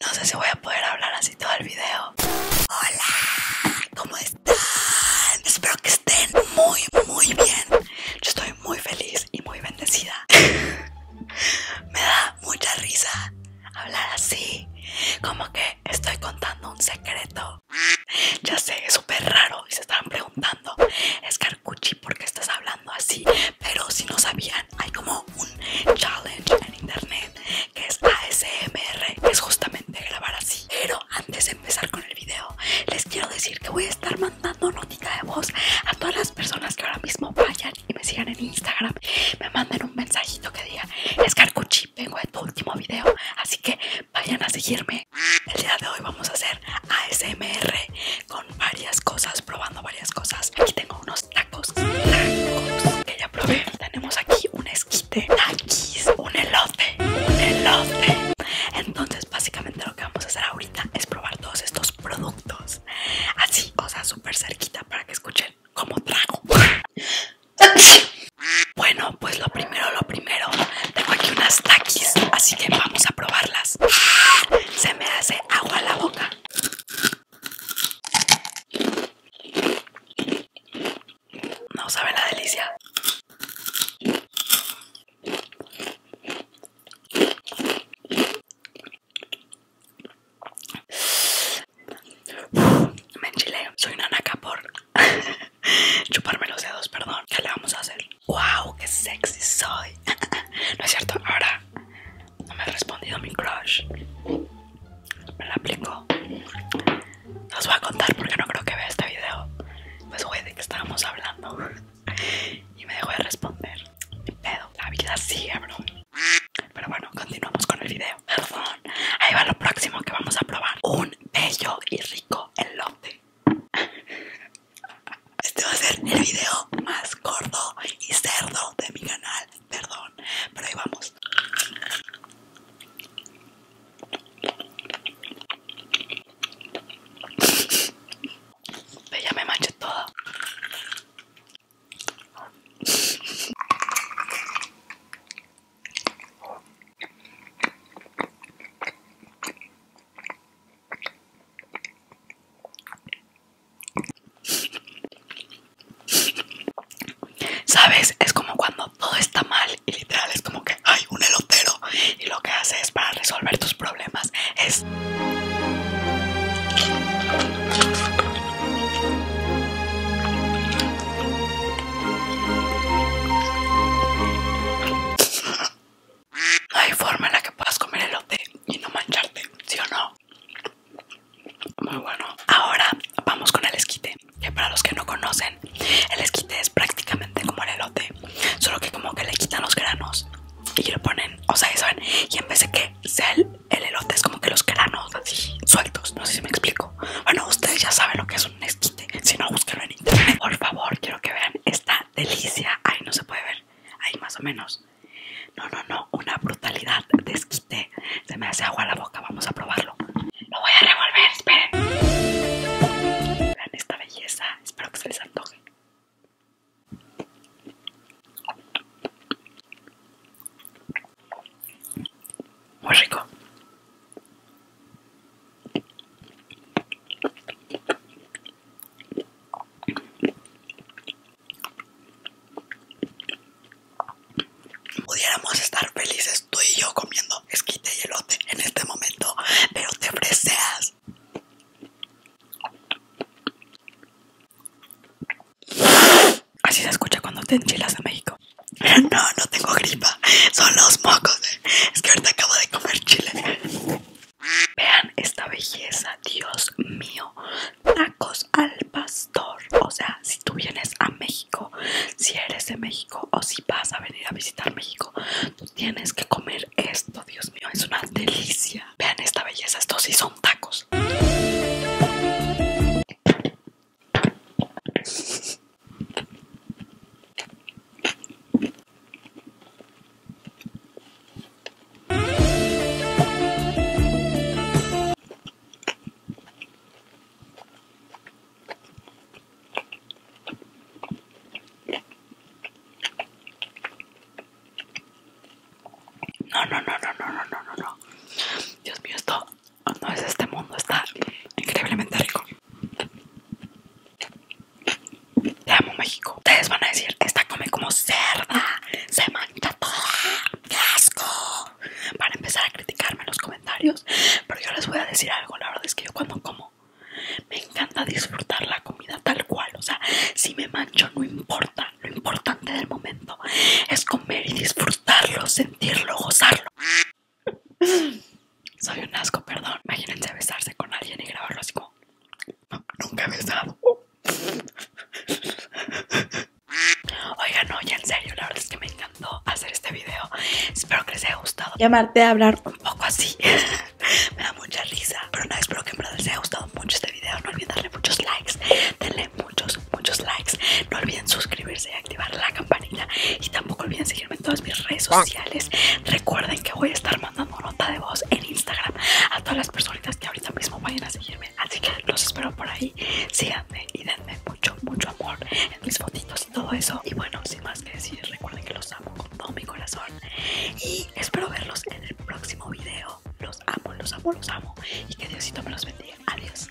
No sé si voy a poder hablar así todo el video. Hola, ¿cómo están? Espero que estén muy, muy bien. Yo estoy muy feliz y muy bendecida. Me da mucha risa hablar así, como que estoy contando un secreto. Ya sé, es súper raro y se están preguntando cuchi porque estás hablando así. Pero si no sabían, hay como un challenge en internet que es ASMR, que es justamente grabar así. Pero antes de empezar con el video, les quiero decir que voy a estar mandando notita de voz a todas las personas que ahora mismo vayan y me sigan en Instagram. Me manden un mensajito que diga, Escarcuchi, Carcuchi, vengo de tu último video, así que vayan a seguirme. El día de hoy vamos a hacer ASMR con varias cosas, probando varias cosas. Aquí tengo unos tacos, tacos que ya probé. Tenemos aquí un esquite, taquis, un elote, un elote. Entonces, básicamente lo que vamos a hacer ahorita es probar todos estos productos. Así, cosas súper cerquita para que escuchen cómo trago. Bueno, pues lo primero, lo primero, tengo aquí unas taquis, así que vamos a probarlas se me hace agua la boca. No sabe la delicia. Me enchileo soy una naca por chuparme los dedos, perdón. ¿Qué le vamos a hacer? ¡Wow! ¡Qué sexy soy! no es cierto, ahora no me ha respondido mi crush. Me la aplico. Os voy a contar porque no creo que vea este video. Pues fue de que estábamos hablando. y me dejó de responder. Mi pedo, la vida sigue, bro. Pero bueno, continuamos con el video. Perdón. Ahí va lo próximo que vamos a probar. Un bello y rico elote. Este va a ser el video más gordo y cerdo de mi canal, perdón, pero ahí vamos. ya me manché todo ¿Sabes? Es como cuando todo está mal y literal es como que hay un elotero y lo que haces para resolver tus problemas es... No hay forma en la que puedas comer elote y no mancharte, ¿sí o no? Muy bueno. Ahora vamos con el esquite. Que para los que no conocen, el esquite es prácticamente como el elote, solo que como que le quitan los granos y lo ponen, o sea, saben, y en vez de que sea el, el elote es como que los granos así sueltos. No sé si me explico. Bueno, ustedes ya saben lo que es un esquite. Si no, búsquenlo en internet. Por favor, quiero que vean esta delicia. Ay, no se puede ver ahí más o menos. No, no, no, una brutalidad, desquite. Se me hace agua la boca, vamos a probarlo. Lo voy a revolver, esperen. Vean esta belleza, espero que se les antoje. Muy rico. Pudiéramos estar felices tú y yo comiendo esquite y elote en este momento, pero te freseas. Así se escucha cuando te enchilas a México. No, no tengo gripa, son los mocos. Es que ahorita acabo de comer chile. Vean esta belleza, Dios mío. Tacos al pastor. O sea, si tú vienes a México, si eres de México o si vas a venir a visitar México, tú tienes que comer esto, Dios mío. Es una delicia. Vean esta belleza, estos sí son tacos. No, no, no, no, no, no, no, no. Dios mío, esto no es este mundo, está increíblemente rico. Te amo México. Ustedes van a decir, esta come como cerda. Se mancha toda. ¡Qué asco! Van a empezar a criticarme en los comentarios. Pero yo les voy a decir algo. La verdad es que yo cuando como me encanta disfrutar la comida tal cual. O sea, si me mancho no importa. Lo importante del momento es comer y disfrutarlo, sentirlo, gozarlo. Soy un asco, perdón. Imagínense besarse con alguien y grabarlo así como. Nunca he estado. Oigan, no, en serio, la verdad es que me encantó hacer este video. Espero que les haya gustado. Llamarte a hablar un poco así. me da mucha risa. Pero nada, no, espero que en les haya gustado mucho este video. No olviden darle muchos likes. Denle muchos, muchos likes. No olviden suscribirse y activar la campanita. Y tampoco olviden seguirme en todas mis redes sociales. Recuerden que voy a estar nota de voz en Instagram a todas las personitas que ahorita mismo vayan a seguirme. Así que los espero por ahí. Síganme y denme mucho, mucho amor en mis fotitos y todo eso. Y bueno, sin más que decir, recuerden que los amo con todo mi corazón. Y espero verlos en el próximo video. Los amo, los amo, los amo. Y que Diosito me los bendiga. Adiós.